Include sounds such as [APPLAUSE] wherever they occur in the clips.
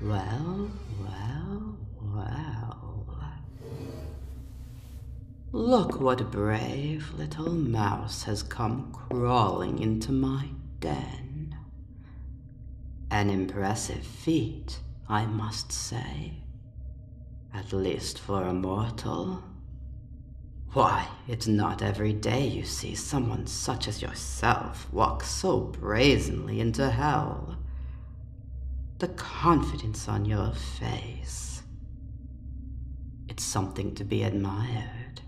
Well, well, well. Look what a brave little mouse has come crawling into my den. An impressive feat, I must say. At least for a mortal. Why, it's not every day you see someone such as yourself walk so brazenly into hell. The confidence on your face. It's something to be admired.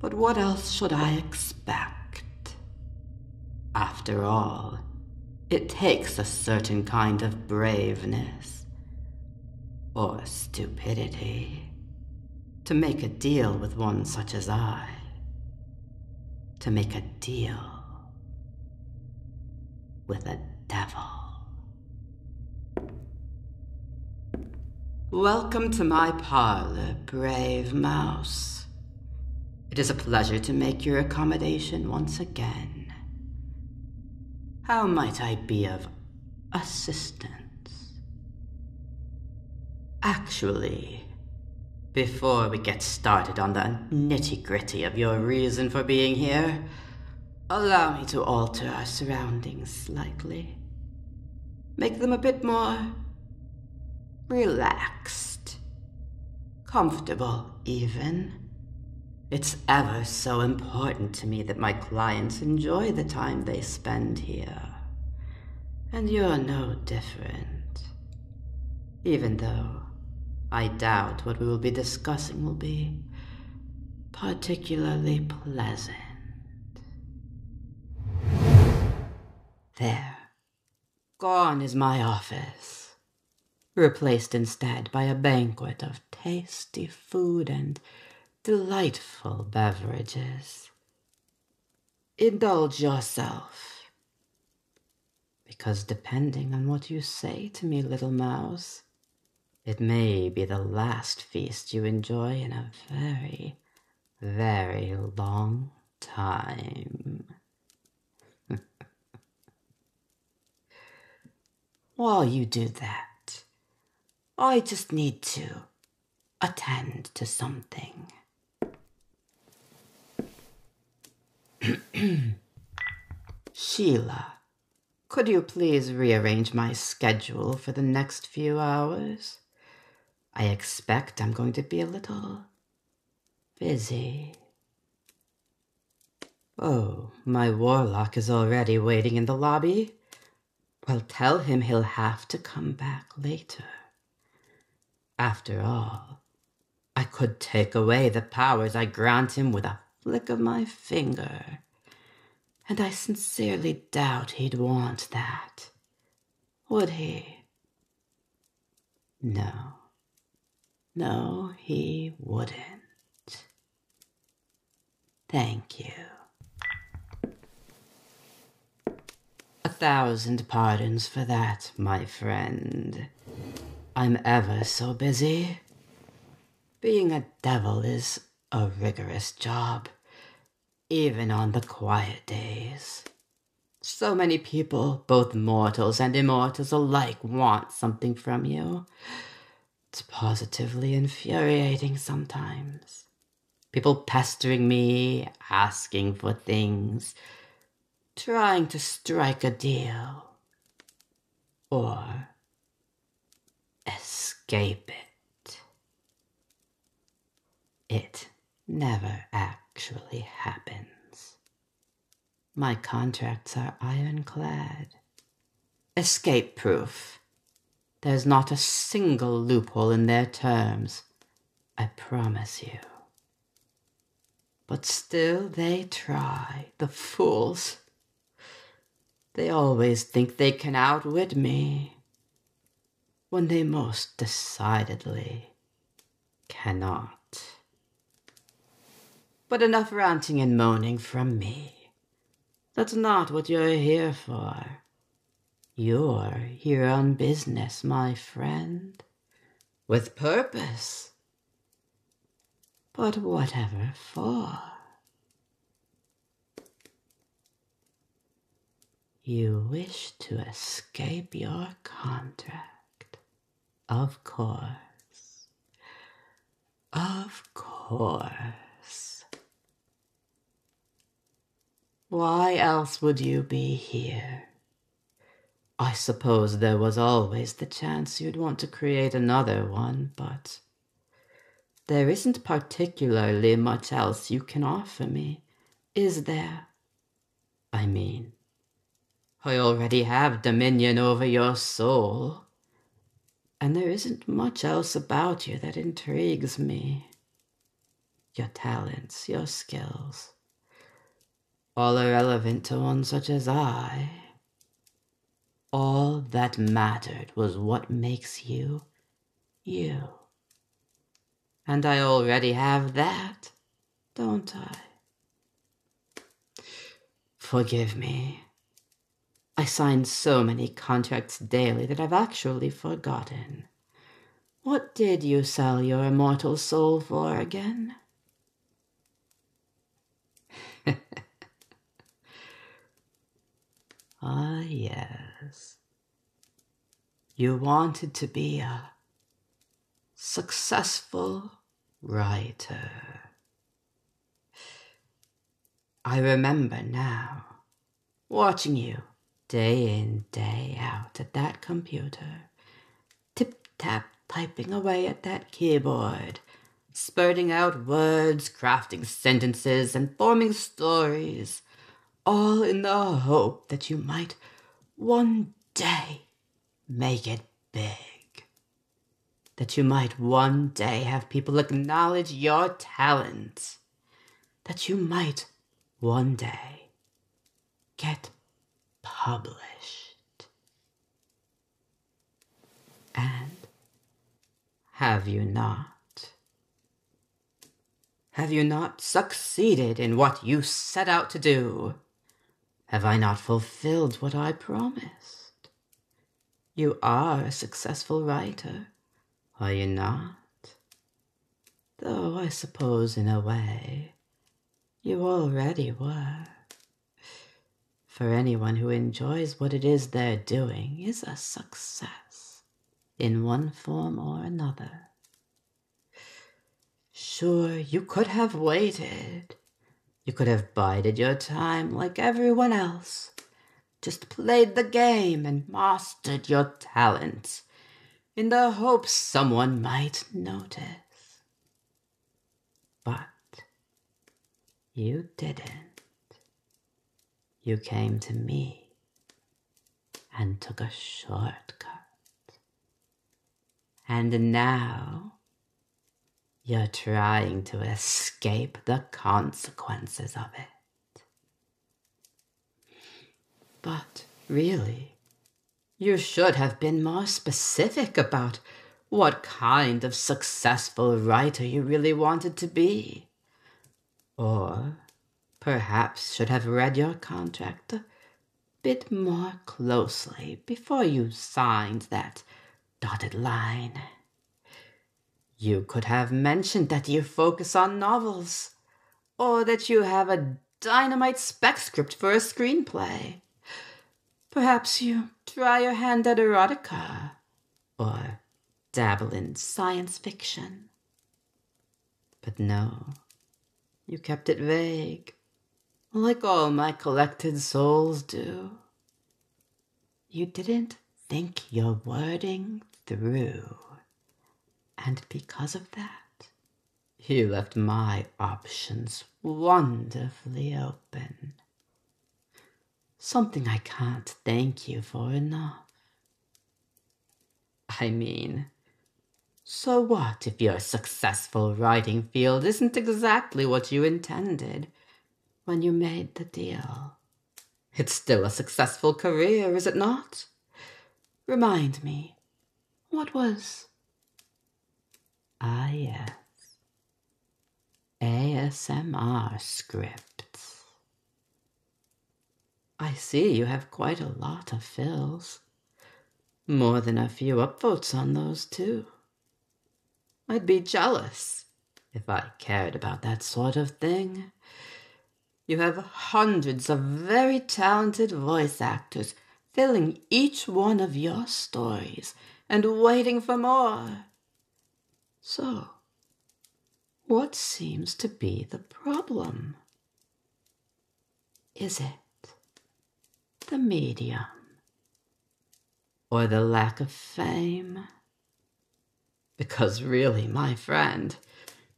But what else should I expect? After all, it takes a certain kind of braveness or stupidity to make a deal with one such as I. To make a deal with a devil. Welcome to my parlor, brave mouse. It is a pleasure to make your accommodation once again. How might I be of assistance. Actually, before we get started on the nitty gritty of your reason for being here, allow me to alter our surroundings slightly. Make them a bit more relaxed, comfortable, even. It's ever so important to me that my clients enjoy the time they spend here. And you're no different. Even though I doubt what we will be discussing will be particularly pleasant. There. Gone is my office. Replaced instead by a banquet of tasty food and delightful beverages. Indulge yourself. Because depending on what you say to me, little mouse, it may be the last feast you enjoy in a very, very long time. [LAUGHS] While you do that, I just need to attend to something. [CLEARS THROAT] Sheila, could you please rearrange my schedule for the next few hours? I expect I'm going to be a little busy. Oh, my warlock is already waiting in the lobby. Well, tell him he'll have to come back later. After all, I could take away the powers I grant him with a flick of my finger. And I sincerely doubt he'd want that. Would he? No. No, he wouldn't. Thank you. A thousand pardons for that, my friend. I'm ever so busy. Being a devil is a rigorous job, even on the quiet days. So many people, both mortals and immortals alike, want something from you. It's positively infuriating sometimes. People pestering me, asking for things, trying to strike a deal, or escape it. It never actually happens. My contracts are ironclad, escape proof there's not a single loophole in their terms, I promise you. But still they try, the fools. They always think they can outwit me, when they most decidedly cannot. But enough ranting and moaning from me. That's not what you're here for. You're here on business, my friend, with purpose. But whatever for. You wish to escape your contract. Of course. Of course. Why else would you be here? I suppose there was always the chance you'd want to create another one, but there isn't particularly much else you can offer me, is there? I mean, I already have dominion over your soul, and there isn't much else about you that intrigues me your talents, your skills. All irrelevant to one such as I. All that mattered was what makes you you. And I already have that, don't I? Forgive me. I sign so many contracts daily that I've actually forgotten. What did you sell your immortal soul for again? [LAUGHS] ah, yes. You wanted to be a successful writer. I remember now watching you day in, day out at that computer, tip tap typing away at that keyboard, spurting out words, crafting sentences, and forming stories, all in the hope that you might one day make it big. That you might one day have people acknowledge your talent that you might one day get published. And have you not? Have you not succeeded in what you set out to do? Have I not fulfilled what I promised? You are a successful writer, are you not? Though I suppose, in a way, you already were. For anyone who enjoys what it is they're doing is a success, in one form or another. Sure, you could have waited. You could have bided your time like everyone else, just played the game and mastered your talent in the hope someone might notice. But you didn't. You came to me and took a shortcut. And now you're trying to escape the consequences of it. But really, you should have been more specific about what kind of successful writer you really wanted to be. Or perhaps should have read your contract bit more closely before you signed that dotted line. You could have mentioned that you focus on novels or that you have a dynamite spec script for a screenplay. Perhaps you try your hand at erotica or dabble in science fiction. But no, you kept it vague, like all my collected souls do. You didn't think your wording through. And because of that, you left my options wonderfully open. Something I can't thank you for enough. I mean, so what if your successful writing field isn't exactly what you intended when you made the deal? It's still a successful career, is it not? Remind me, what was? Ah, yes. ASMR scripts. I see you have quite a lot of fills. More than a few upvotes on those, too. I'd be jealous if I cared about that sort of thing. You have hundreds of very talented voice actors filling each one of your stories and waiting for more. So, what seems to be the problem? Is it the medium or the lack of fame? Because really, my friend,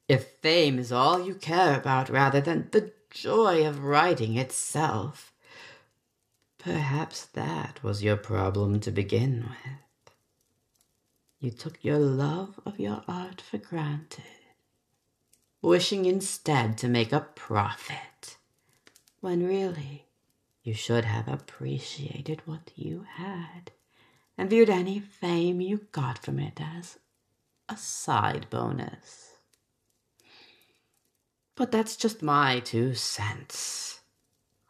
if fame is all you care about rather than the joy of writing itself. Perhaps that was your problem to begin with. You took your love of your art for granted, wishing instead to make a profit, when really you should have appreciated what you had and viewed any fame you got from it as a side bonus. But that's just my two cents.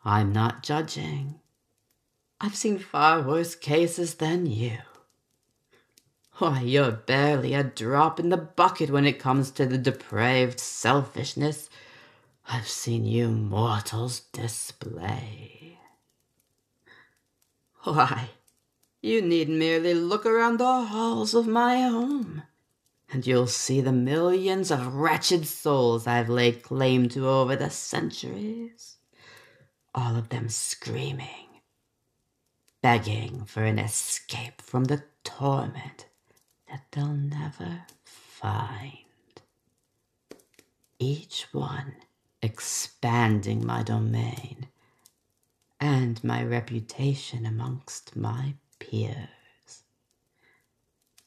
I'm not judging. I've seen far worse cases than you. Why, you're barely a drop in the bucket when it comes to the depraved selfishness I've seen you mortals display. Why, you need merely look around the halls of my home, and you'll see the millions of wretched souls I've laid claim to over the centuries, all of them screaming, begging for an escape from the torment that they'll never find. Each one expanding my domain and my reputation amongst my peers,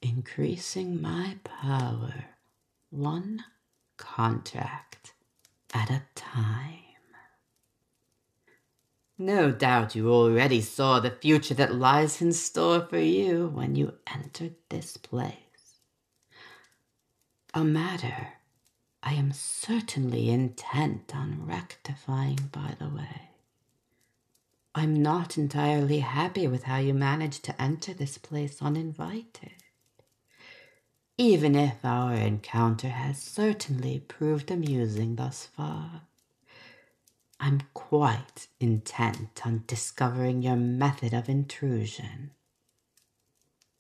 increasing my power one contract at a time. No doubt you already saw the future that lies in store for you when you entered this place a matter I am certainly intent on rectifying, by the way. I'm not entirely happy with how you managed to enter this place uninvited. Even if our encounter has certainly proved amusing thus far, I'm quite intent on discovering your method of intrusion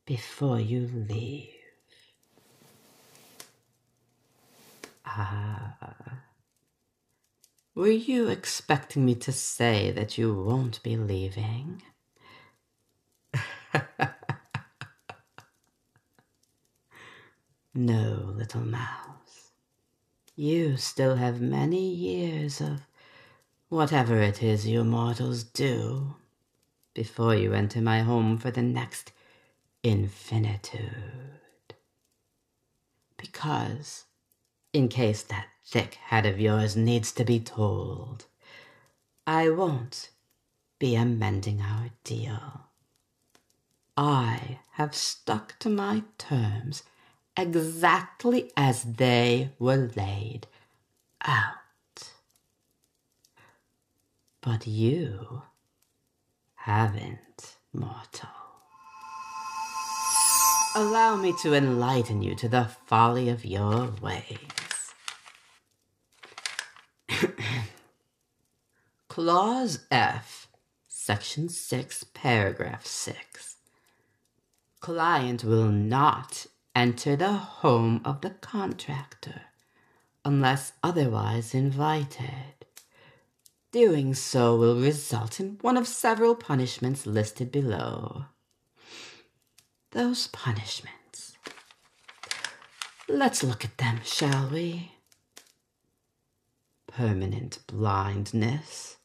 before you leave. Ah. Were you expecting me to say that you won't be leaving? [LAUGHS] no, little mouse. You still have many years of whatever it is you mortals do before you enter my home for the next infinitude. Because, in case that thick head of yours needs to be told, I won't be amending our deal. I have stuck to my terms exactly as they were laid out. But you haven't, mortal. Allow me to enlighten you to the folly of your ways. [COUGHS] Clause F, Section 6, Paragraph 6. Client will not enter the home of the contractor unless otherwise invited. Doing so will result in one of several punishments listed below. Those punishments. Let's look at them, shall we? Permanent blindness,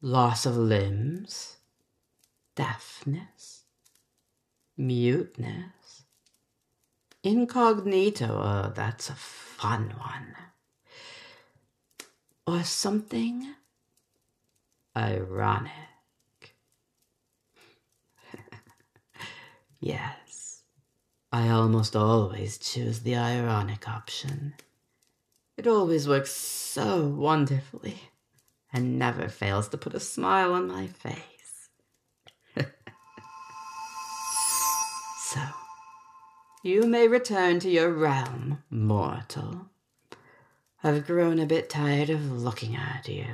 loss of limbs, deafness, Muteness. Incognito, oh, that's a fun one. Or something ironic. [LAUGHS] yes, I almost always choose the ironic option. It always works so wonderfully and never fails to put a smile on my face. [LAUGHS] so, you may return to your realm, mortal. I've grown a bit tired of looking at you,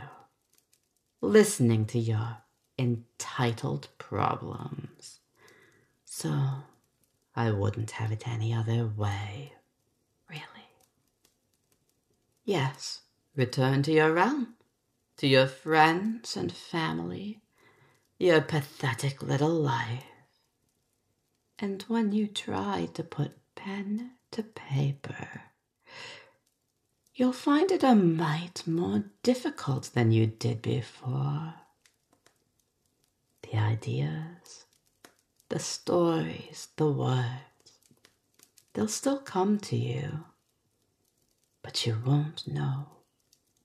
listening to your entitled problems. So, I wouldn't have it any other way, really. Yes, return to your realm, to your friends and family, your pathetic little life. And when you try to put pen to paper, you'll find it a mite more difficult than you did before. The ideas, the stories, the words, they'll still come to you but you won't know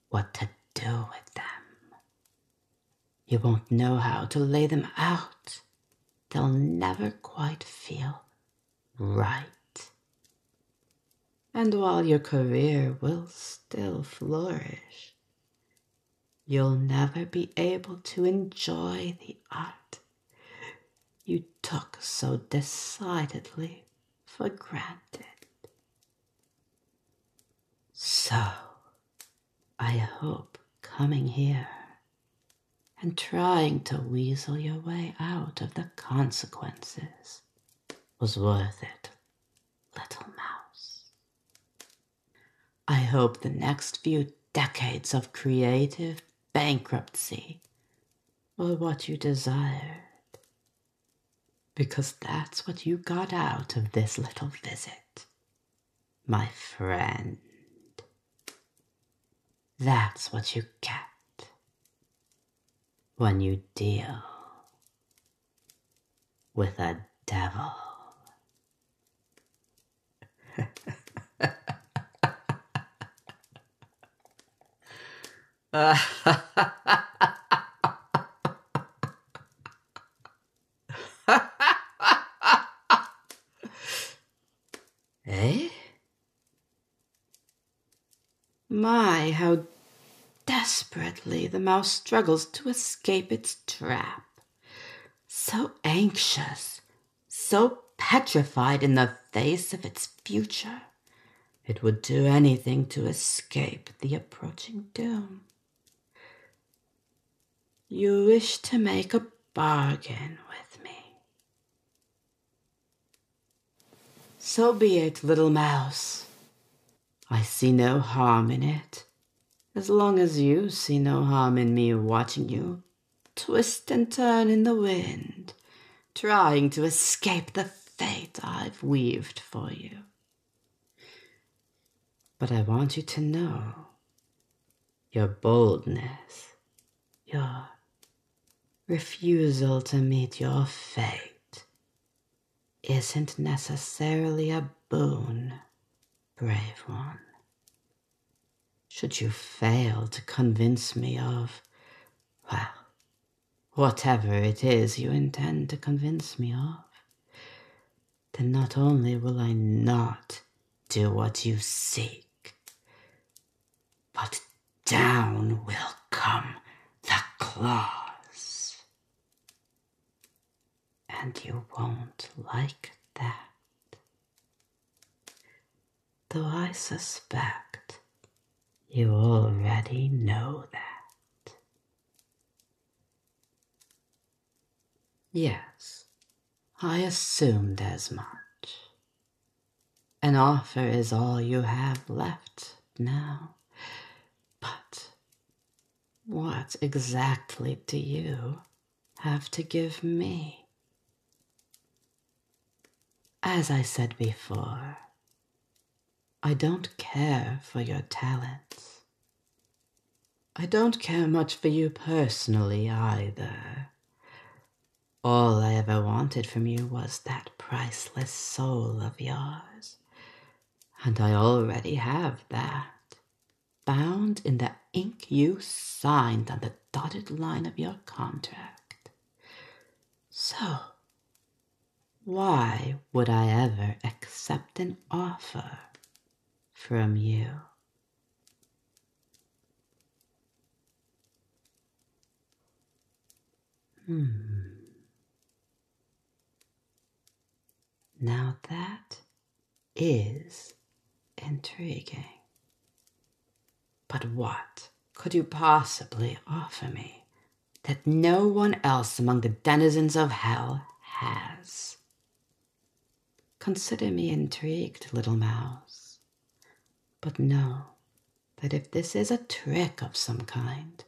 what to do with them. You won't know how to lay them out. They'll never quite feel right. And while your career will still flourish, you'll never be able to enjoy the art you took so decidedly for granted. So, I hope coming here and trying to weasel your way out of the consequences was worth it, little mouse. I hope the next few decades of creative bankruptcy or what you desired, because that's what you got out of this little visit, my friend. That's what you get when you deal with a devil. [LAUGHS] Uh, eh? My, how desperately the mouse struggles to escape its trap. So anxious, so petrified in the face of its future, it would do anything to escape the approaching doom. You wish to make a bargain with me. So be it, little mouse. I see no harm in it, as long as you see no harm in me watching you twist and turn in the wind trying to escape the fate I've weaved for you. But I want you to know your boldness, your refusal to meet your fate isn't necessarily a boon, brave one. Should you fail to convince me of, well, whatever it is you intend to convince me of, then not only will I not do what you seek, but down will come the claws. And you won't like that though I suspect you already know that. Yes, I assumed as much. An offer is all you have left now. But what exactly do you have to give me? As I said before, I don't care for your talents. I don't care much for you personally either. All I ever wanted from you was that priceless soul of yours, and I already have that bound in the ink you signed on the dotted line of your contract. So, why would I ever accept an offer from you? Hmm. Now that is intriguing. But what could you possibly offer me that no one else among the denizens of hell has? Consider me intrigued, little mouse, but know that if this is a trick of some kind,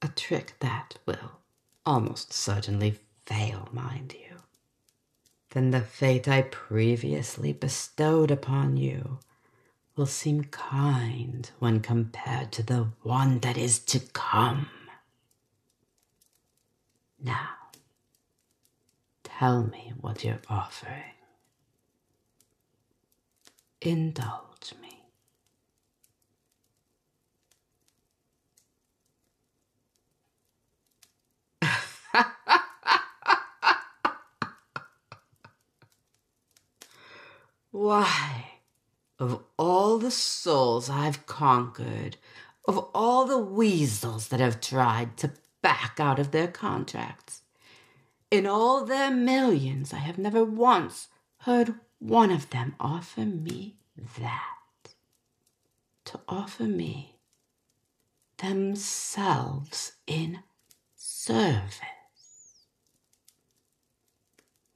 a trick that will almost certainly fail, mind you, then the fate I previously bestowed upon you will seem kind when compared to the one that is to come. Now, tell me what you're offering. Indulge me. [LAUGHS] Why, of all the souls I've conquered, of all the weasels that have tried to back out of their contracts, in all their millions, I have never once heard one of them offer me that. To offer me themselves in service.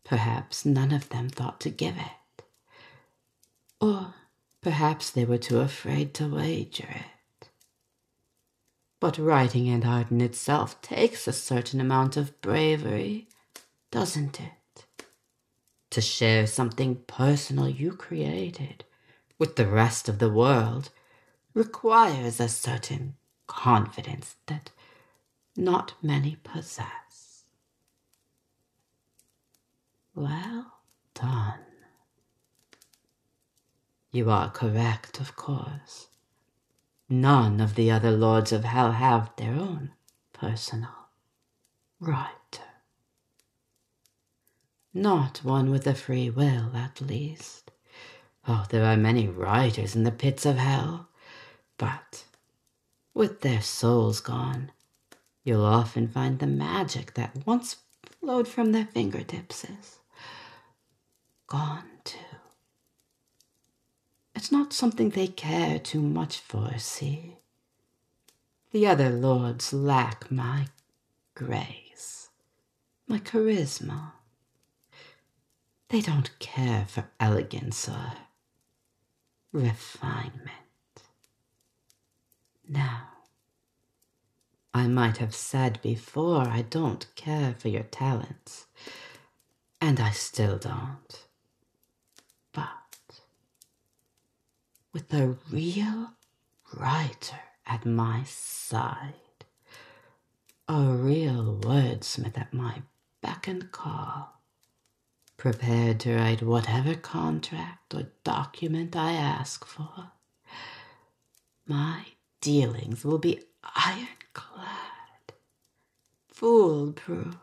Perhaps none of them thought to give it. Or perhaps they were too afraid to wager it. But writing and art in itself takes a certain amount of bravery, doesn't it? To share something personal you created with the rest of the world requires a certain confidence that not many possess. Well done. You are correct, of course. None of the other lords of hell have their own personal right. Not one with a free will, at least. Oh, there are many riders in the pits of hell, but with their souls gone, you'll often find the magic that once flowed from their fingertips is gone too. It's not something they care too much for, see? The other lords lack my grace, my charisma. They don't care for elegance or refinement. Now, I might have said before I don't care for your talents, and I still don't. But with a real writer at my side, a real wordsmith at my beck and call, prepared to write whatever contract or document I ask for. My dealings will be ironclad, foolproof.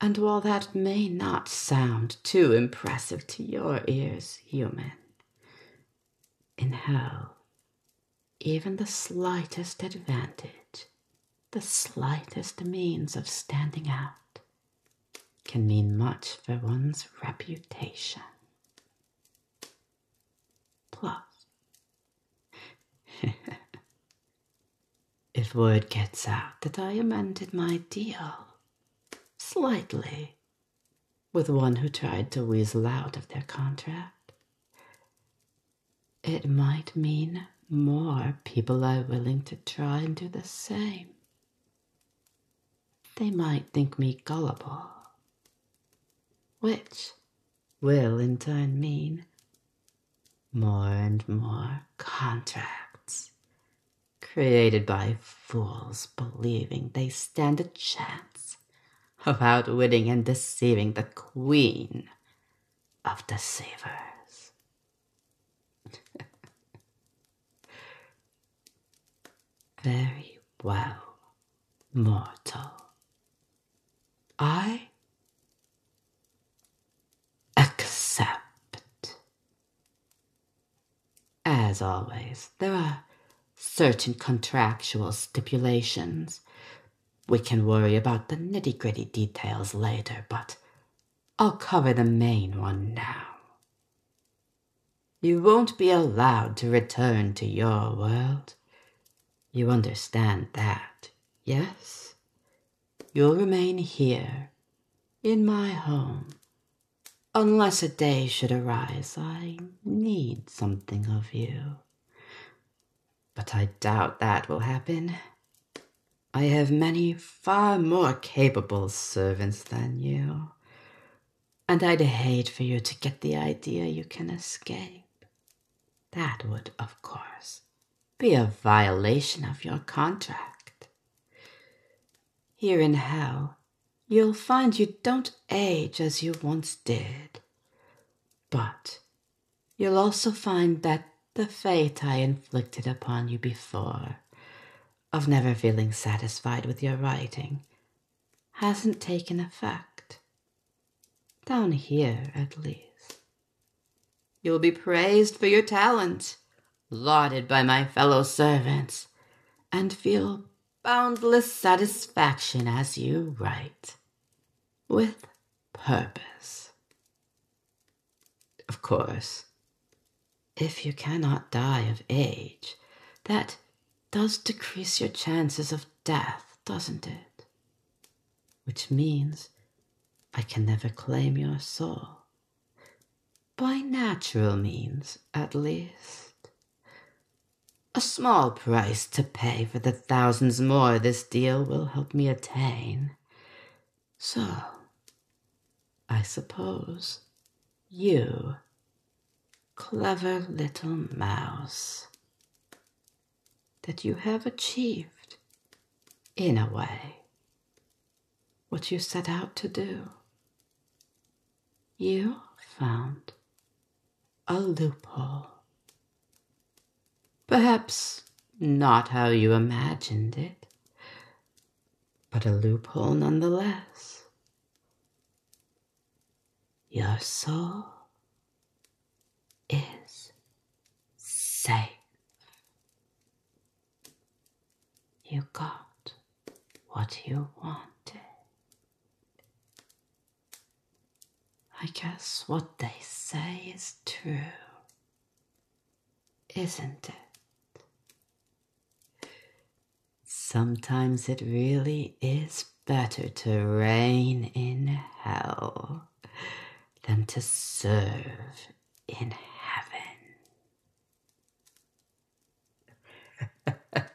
And while that may not sound too impressive to your ears, human, in hell even the slightest advantage, the slightest means of standing out, can mean much for one's reputation. Plus, [LAUGHS] if word gets out that I amended my deal slightly with one who tried to weasel out of their contract, it might mean more people are willing to try and do the same. They might think me gullible, which will in turn mean more and more contracts created by fools believing they stand a chance about winning and deceiving the queen of deceivers. [LAUGHS] Very well, mortal. I accept. As always, there are certain contractual stipulations we can worry about the nitty gritty details later, but I'll cover the main one now. You won't be allowed to return to your world. You understand that, yes? You'll remain here, in my home. Unless a day should arise, I need something of you but I doubt that will happen. I have many far more capable servants than you, and I'd hate for you to get the idea you can escape. That would, of course, be a violation of your contract. Here in hell, you'll find you don't age as you once did, but You'll also find that the fate I inflicted upon you before, of never feeling satisfied with your writing, hasn't taken effect. Down here, at least. You'll be praised for your talent, lauded by my fellow servants, and feel boundless satisfaction as you write with purpose. Of course, if you cannot die of age, that does decrease your chances of death, doesn't it? Which means I can never claim your soul. By natural means, at least. A small price to pay for the thousands more this deal will help me attain. So, I suppose you, clever little mouse, that you have achieved, in a way, what you set out to do. You found a loophole. Perhaps not how you imagined it, but a loophole nonetheless. Your soul is safe. You got what you wanted. I guess what they say is true, isn't it? Sometimes it really is better to reign in hell than to serve in heaven. [LAUGHS]